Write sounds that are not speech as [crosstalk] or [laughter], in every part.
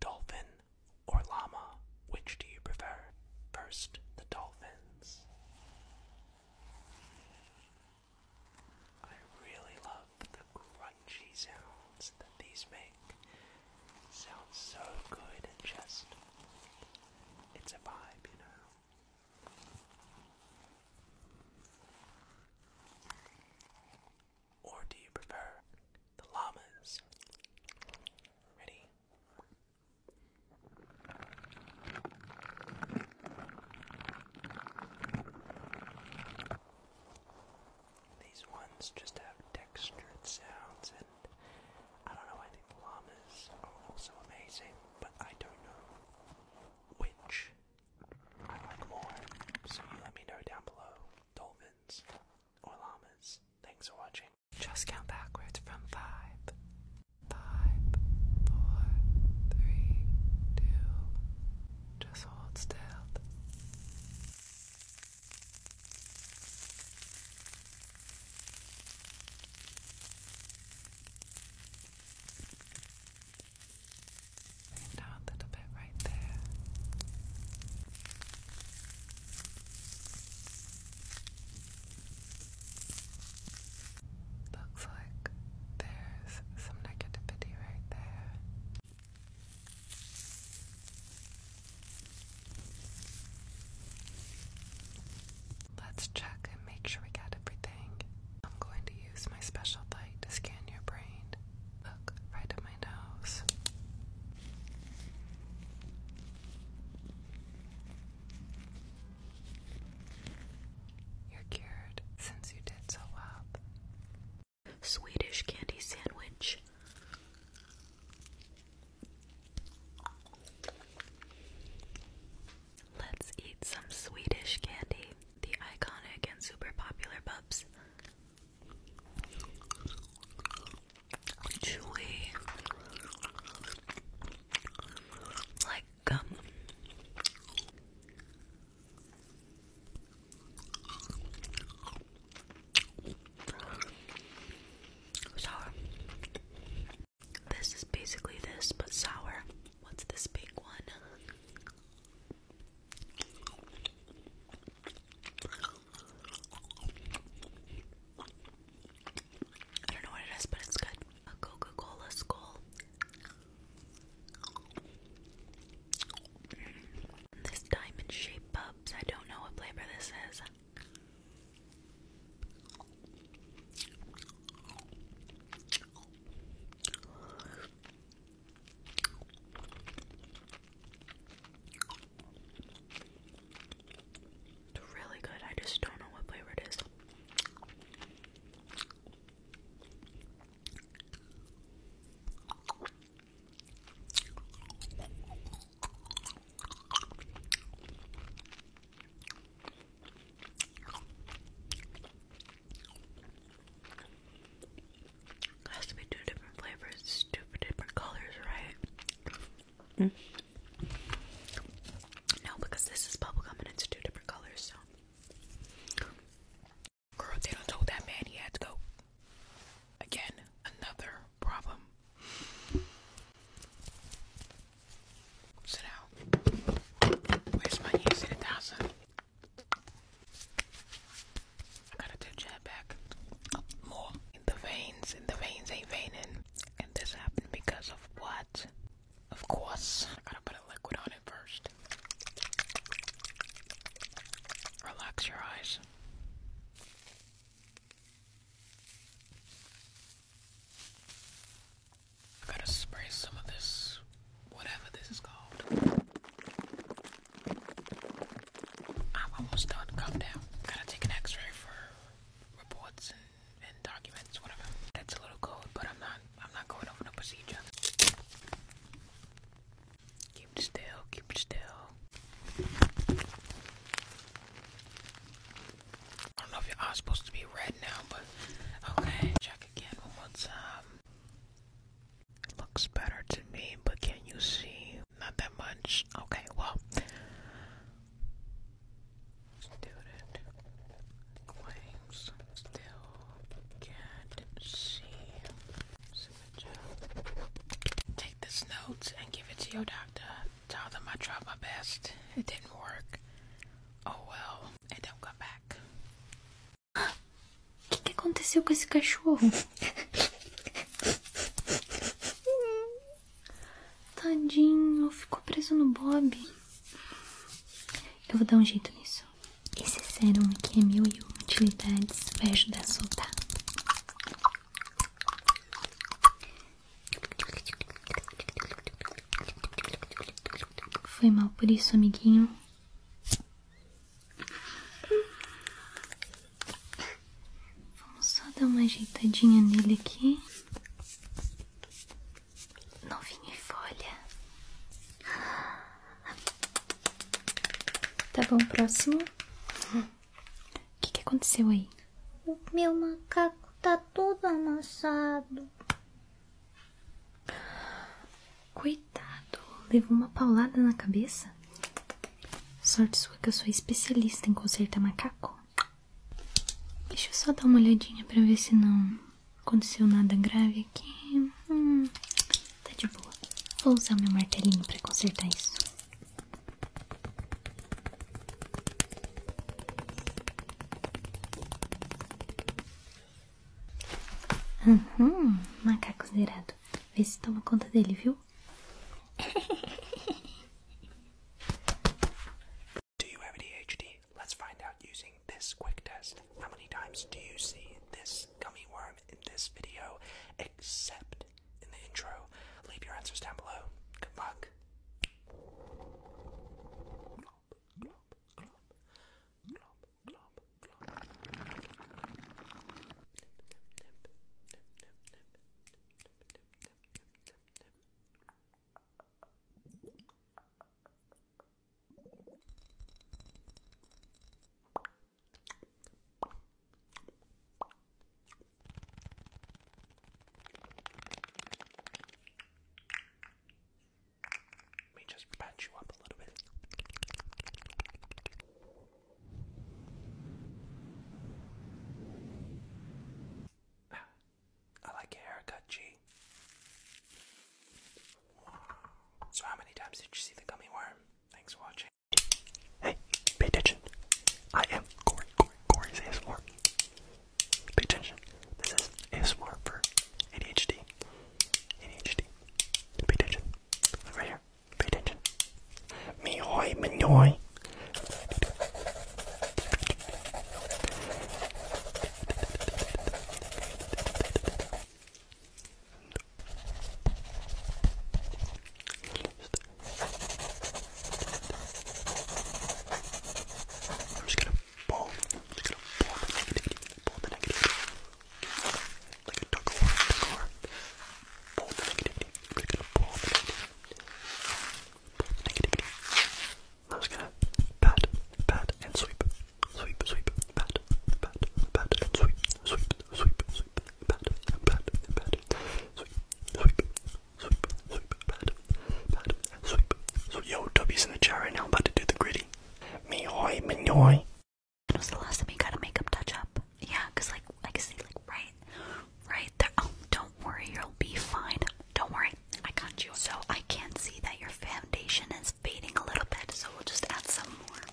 Dolphin or llama, which do you prefer? First, the dolphins. I really love the crunchy sounds that these make. sounds so good and just it's a vibe, you know. Or do you prefer the llamas? Ready? These ones just have textured sounds, and I don't know, I think llamas are also amazing, but I don't know which I like more. So you let me know down below. Dolphins or llamas. Thanks for watching. Just count backwards from five. Five, four, three, two. Just hold still. Down a little bit right there. Looks like there's some negativity right there. Let's check and make sure we got everything. I'm going to use my special light to scan your brain Look right at my nose. You're cured since you did so well. Swedish candy sandwich. Let's eat some Swedish candy, the iconic and super popular Bubs chewy, like gum. Sour. This is basically this, but sour. What's this big one? I don't know what it is, but it's good. A Coca Cola skull. Mm. This diamond shaped bubs. I don't know what flavor this is. It's really good. I just don't know what flavor it is. It has to be two different flavors, two different colors, right? Mm. No, because this is bubblegum and it's two different colors, Girl, they don't told that man he had to go. Again, another problem. Sit down. Where's my easy thousand? I gotta do jab back more. In the veins, in the veins ain't veining. And this happened because of what? Of course. I gotta put a liquid on it first. Relax your eyes. I gotta spray some of this, whatever this is called. I'm almost done. Calm down. Gotta take an x ray for reports and, and documents, whatever. That's a little cold, but I'm not I'm not going over no procedure. Keep still, keep still. I don't know if your eyes supposed to be red now, but okay. Check again one more time. Looks better to me, but can you see not that much. Okay, well, still can't see. Take this notes and give it to your doctor. Tell them I tried my best. It didn't work. Oh well, it don't come back. O que, aconteceu com esse cachorro? Tadinho, ficou preso no Bob. Eu vou dar um jeito nisso. Esse sérum aqui é mil e um utilidades, vai ajudar a soltar. Foi mal por isso, amiguinho. Vamos só dar uma ajeitadinha nele aqui. Novinho e folha. Tá bom, próximo. O que, que aconteceu aí? O meu macaco tá todo amassado. Coitado, levou uma paulada na cabeça? Sorte sua que eu sou especialista em consertar macaco. Deixa eu só dar uma olhadinha pra ver se não aconteceu nada grave aqui. Hum, tá de boa. Vou usar meu martelinho pra consertar isso. Uhum, macaco zerado. Vê se toma conta dele, viu? [laughs] Do you have ADHD? Let's find out using this quick test. How many times do you see this gummy worm in this video, except in the intro? Leave your answers down below. Good luck. Let me just patch you up a little bit. I like your haircut, G. So, how many times did you see the gummy worm? Thanks for watching. Hey, pay attention. I am Corey, Corey, Corey's ASMR. Pay attention. This is ASMR for ADHD. ADHD. Pay attention. right here. Pay attention. Mihoi, Mihoi. I'm just gonna pull, I'm just gonna pull the negative, pull the negative. like a tug of war, tug of war. Pull the negativity. we pull Pull the negativity. I'm gonna pat, pat, and sweep. Sweep, sweep, pat, pat, pat, and sweep. Sweep, sweep, sweep, pat, pat, pat, sweep, sweep, sweep, pat, pat, and sweep. So yo, Toby's in the chat right now. about to do the gritty. Me hoy, me when was the last time you got a makeup touch up? Yeah, cause like I can see like right, right there. Oh, don't worry, you'll be fine. Don't worry, I got you. So I can see that your foundation is fading a little bit, so we'll just add some more.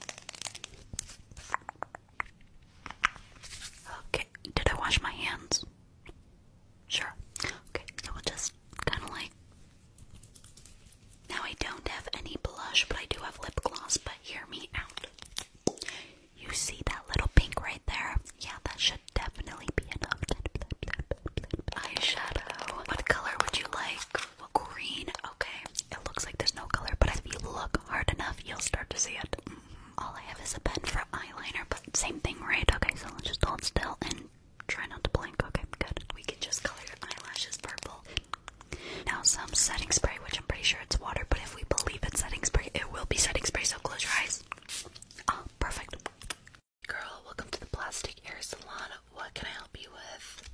Okay, did I wash my hands? Sure. Okay, so we'll just kind of like. Now I don't have any blush, but I do have lip gloss. But hear me out. You see that little pink right there? Yeah, that should definitely be enough. [laughs] Eyeshadow. What color would you like? green. Okay. It looks like there's no color, but if you look hard enough, you'll start to see it. Mm-hmm. All I have is a pen for eyeliner, but same thing, right? Okay, so let's just hold still and try not to blink. Okay, good. We can just color your eyelashes purple. Now some setting spray, which I'm pretty sure it's water, but if we believe it's setting spray, it will be setting spray, so close your eyes. Oh, perfect. Girl, welcome to the Plastic Hair Salon. What can I help you with?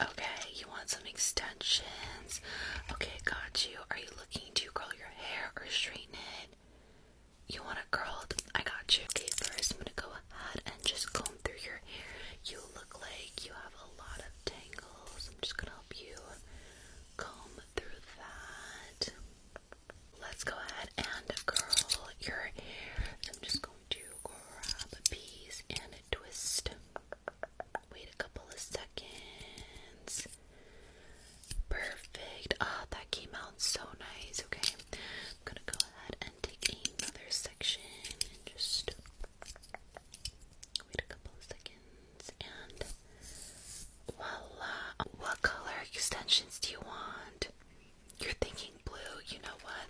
Okay, you want some extensions? Okay, got you. Are you looking to curl your hair or straighten it? You want it curled? I got you. Okay, first I'm gonna go ahead and just comb through your hair. You look like you have a lot of tangles. I'm just gonna help you comb through that. Let's go ahead and curl your hair. So I'm just going to grab a piece and a twist. Wait a couple of seconds. Perfect. Ah, that came out so nice. Okay, I'm gonna go ahead and take another section and just Wait a couple of seconds and voila! What color extensions do you want? You're thinking blue, you know what?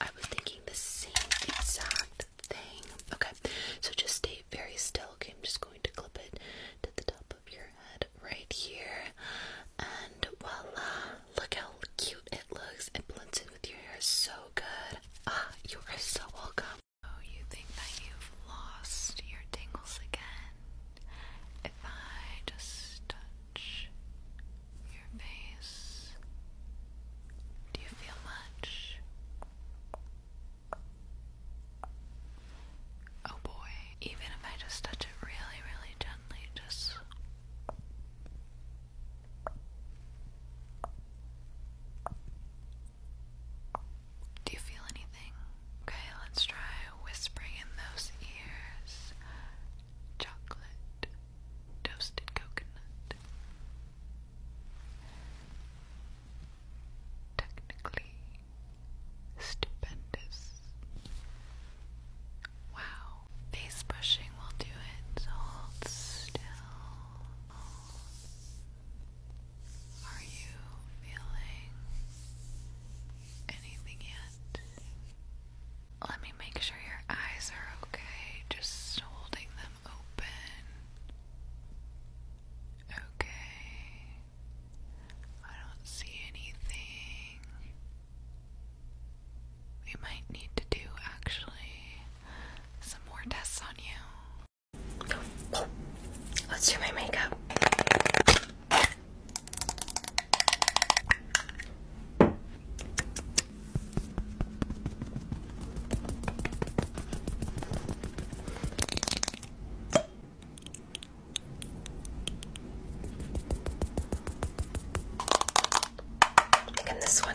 I was thinking the same exact thing. Okay, so just stay very still. Okay, I'm just going to clip it to the top of your head right here. And voila! Look how cute it looks. It blends in with your hair so good. Ah, you are so welcome. So oh, you think that you've lost your tingles again? If I just touch your face, do you feel much? Oh boy, even if I just touch it really, really gently, just. Do you feel anything? Okay, let's try whispering in those ears. Chocolate, toasted coconut. Technically stupendous. Wow. Face brushing will do it. Hold still. Are you feeling anything yet? Let me make sure your eyes are okay, just holding them open. Okay. I don't see anything. We might need to do actually some more tests on you. Oh, let's do my makeup. Again, this one.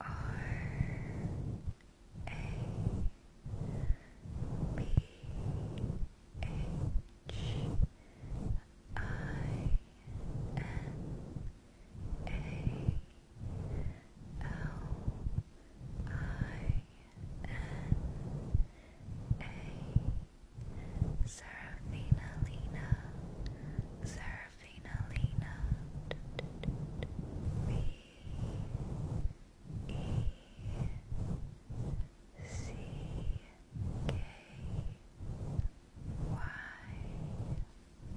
R A B H I N A L I N A Serafina Lena Serafina Finalina B E C K Y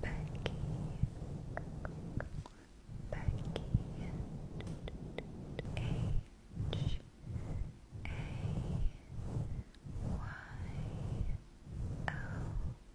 Becky Becky H A Y L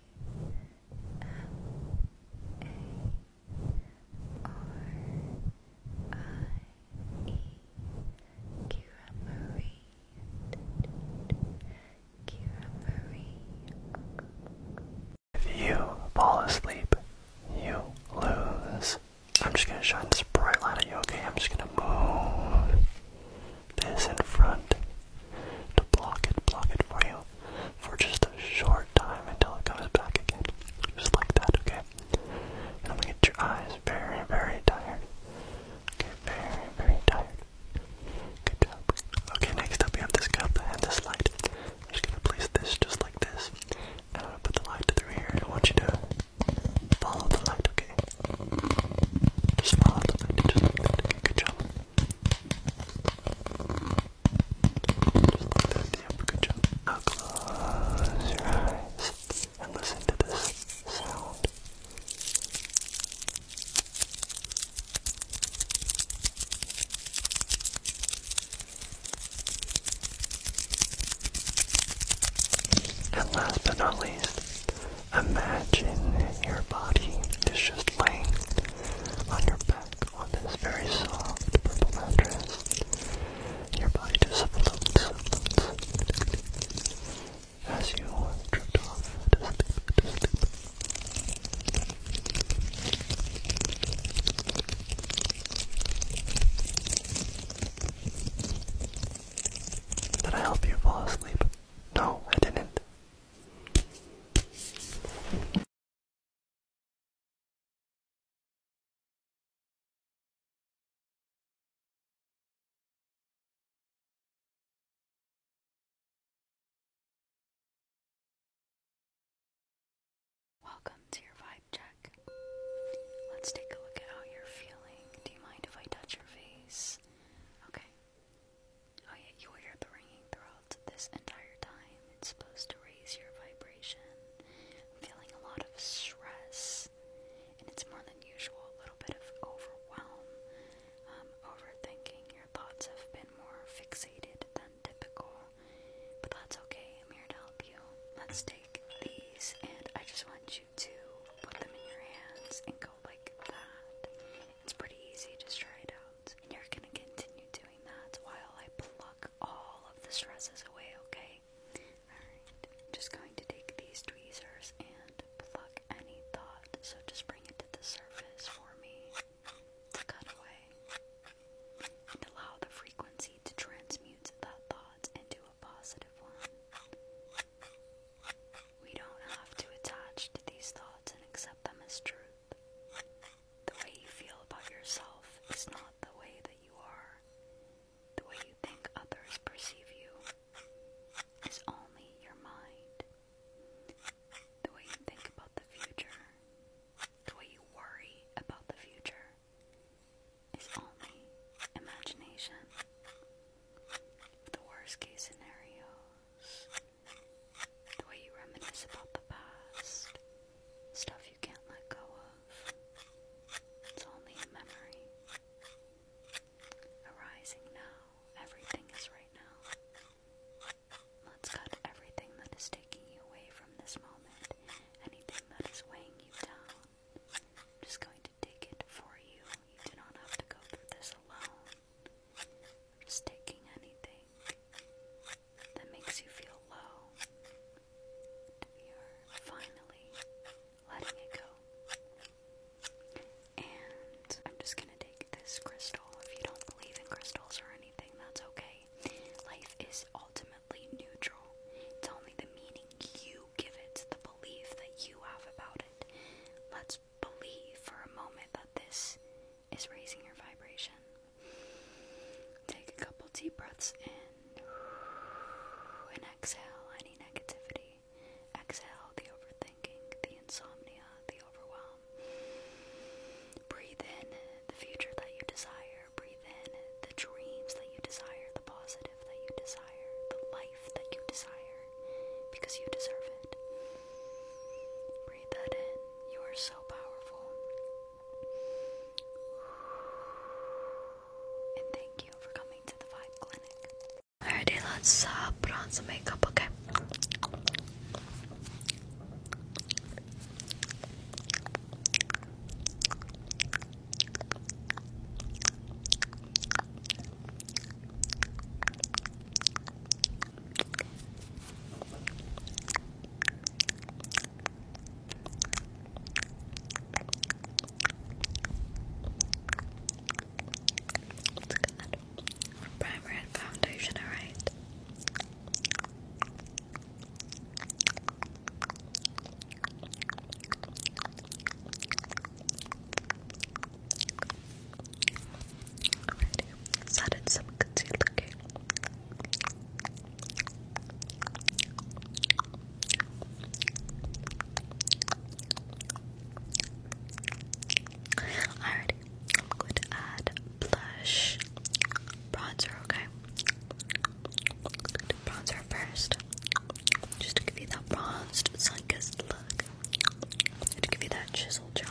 M-A-R-I-E If you fall asleep, you lose. I'm just gonna shine this bright light at you, okay? I'm just gonna move this in front to block it, block it for you for just a short time until it comes back again. Just like that, okay? And I'm gonna get your eyes very, very tired. Okay, very, very tired. Good job. Okay, next up we have this cup and this light. I'm just gonna place this just like this. And I'm gonna put the light through here and I want you to follow the light, okay? Just smile at Just like that. Good job. Just like that. good job. Now close your eyes and listen to this sound. And last but not least, Imagine your body is just laying on your back on this very soft purple mattress. Your body just floats, floats as you drift off Did I help you fall asleep? No, I didn't. Welcome to your vibe check. Let's take a look at how you're feeling. Do you mind if I touch your face? Okay. Oh, yeah, you will hear the ringing throughout this entire time. It's supposed to raise your vibration. I'm feeling a lot of stress, and it's more than usual a little bit of overwhelm, um, overthinking. Your thoughts have been more fixated than typical, but that's okay. I'm here to help you. Let's take these, and I just want you to put them in your hands and go like that. It's pretty easy, just try it out. And you're gonna continue doing that while I pluck all of the stresses away, okay? Alright, just going to take these tweezers and pluck any thought. So just bring it to the surface for me to cut away. And allow the frequency to transmute that thought into a positive one. We don't have to attach to these thoughts and accept them as truth. The way you feel about yourself is not the way that you are. The way you think others perceive you is only your mind. The way you think about the future, the way you worry about the future, is only imagination. The worst case scenario the way you reminisce about the past, stuff you can't let go of. It's only a memory. Arising now, everything is right now. Let's cut everything that is taking you away from this moment, anything that is weighing you down. I'm just going to take it for you. You do not have to go through this alone. Just anything that makes you feel low, you're finally letting it go. And I'm just gonna take this crystal. If you don't believe in crystals or anything, that's okay. Life is ultimately neutral. It's only the meaning you give it, the belief that you have about it. Let's believe for a moment that this is raising your vibration. Take a couple deep breaths in and exhale any negativity. Exhale the overthinking, the insomnia, the overwhelm. Breathe in the future that you desire. Breathe in the dreams that you desire, the positive that you desire, the light that you desire because you deserve it. Breathe that in. You are so powerful. And thank you for coming to the Vibe Clinic. Alrighty, let's uh, put on some makeup, okay? That's good. Primer and foundation, alright. Alrighty, let's add some concealer, okay? I'm going to add blush bronzer, okay? bronzer first, just to give you that bronzed, sun-kissed look to give you that chisel jaw.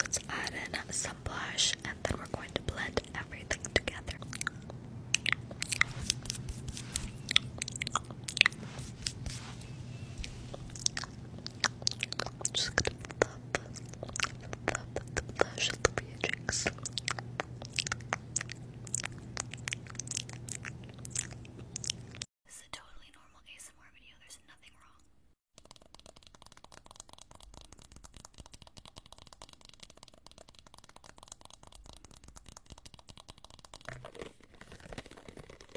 Let's add in some blush and then we're going to blend everything together. Just gonna thump, thump, flash of the Beatrix. This is a totally normal ASMR video, there's nothing wrong.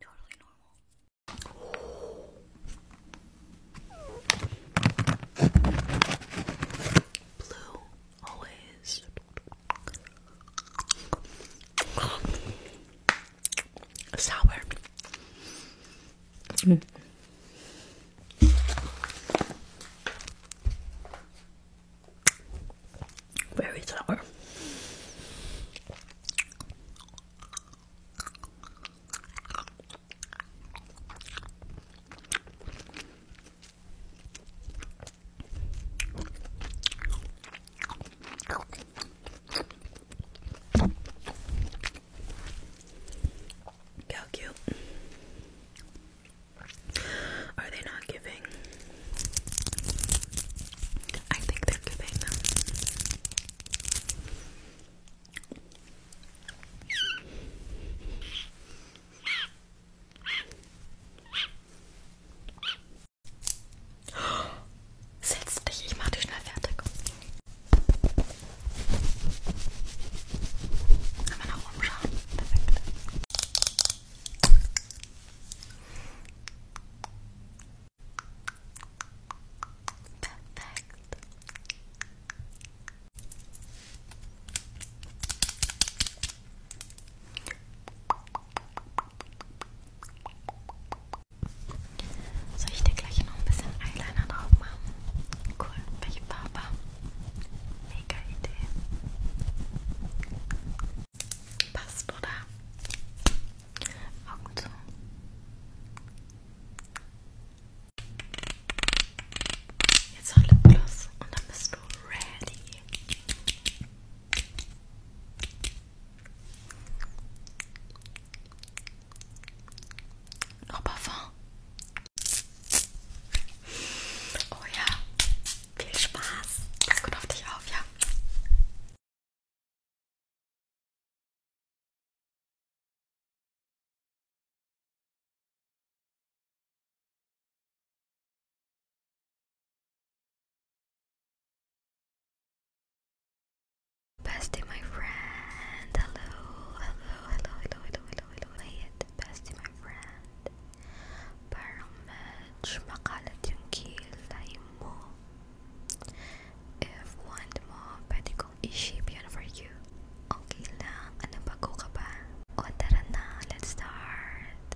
Totally normal. Blue always Sour. Mm. Very sour. How cute. Are they not giving? I think they're giving them. Setz dich, ich mach dich schnell fertig. Einmal nach oben schauen. Perfekt. Perfekt. Soll ich dir gleich noch ein bisschen Eyeliner drauf machen? Cool, welche Farbe? Mega Idee. Passt, oder? Augen zu. Jetzt noch Lipgloss und dann bist du ready. Noch Parfum. Oh ja, viel Spaß. Pass gut auf dich auf, ja. Bestie, my friend. Hello, hello, hello, hello, hello, hello, hello. bestie, my friend. Parang medj makalat yung kilay mo. If want mo, pwede kong i for you. Okay lang. Ano bago ba? O tara let's start.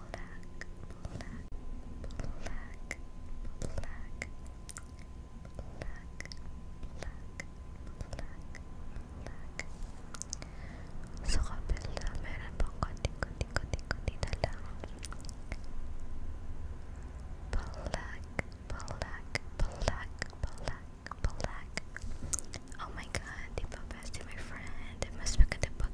black, black, black, black, black, black, black. Sa kapila, meron pang konti-konti-konti-konti na lang. Black, black, black, black, black. Oh my god, diba bestie my friend? Mas maganda pag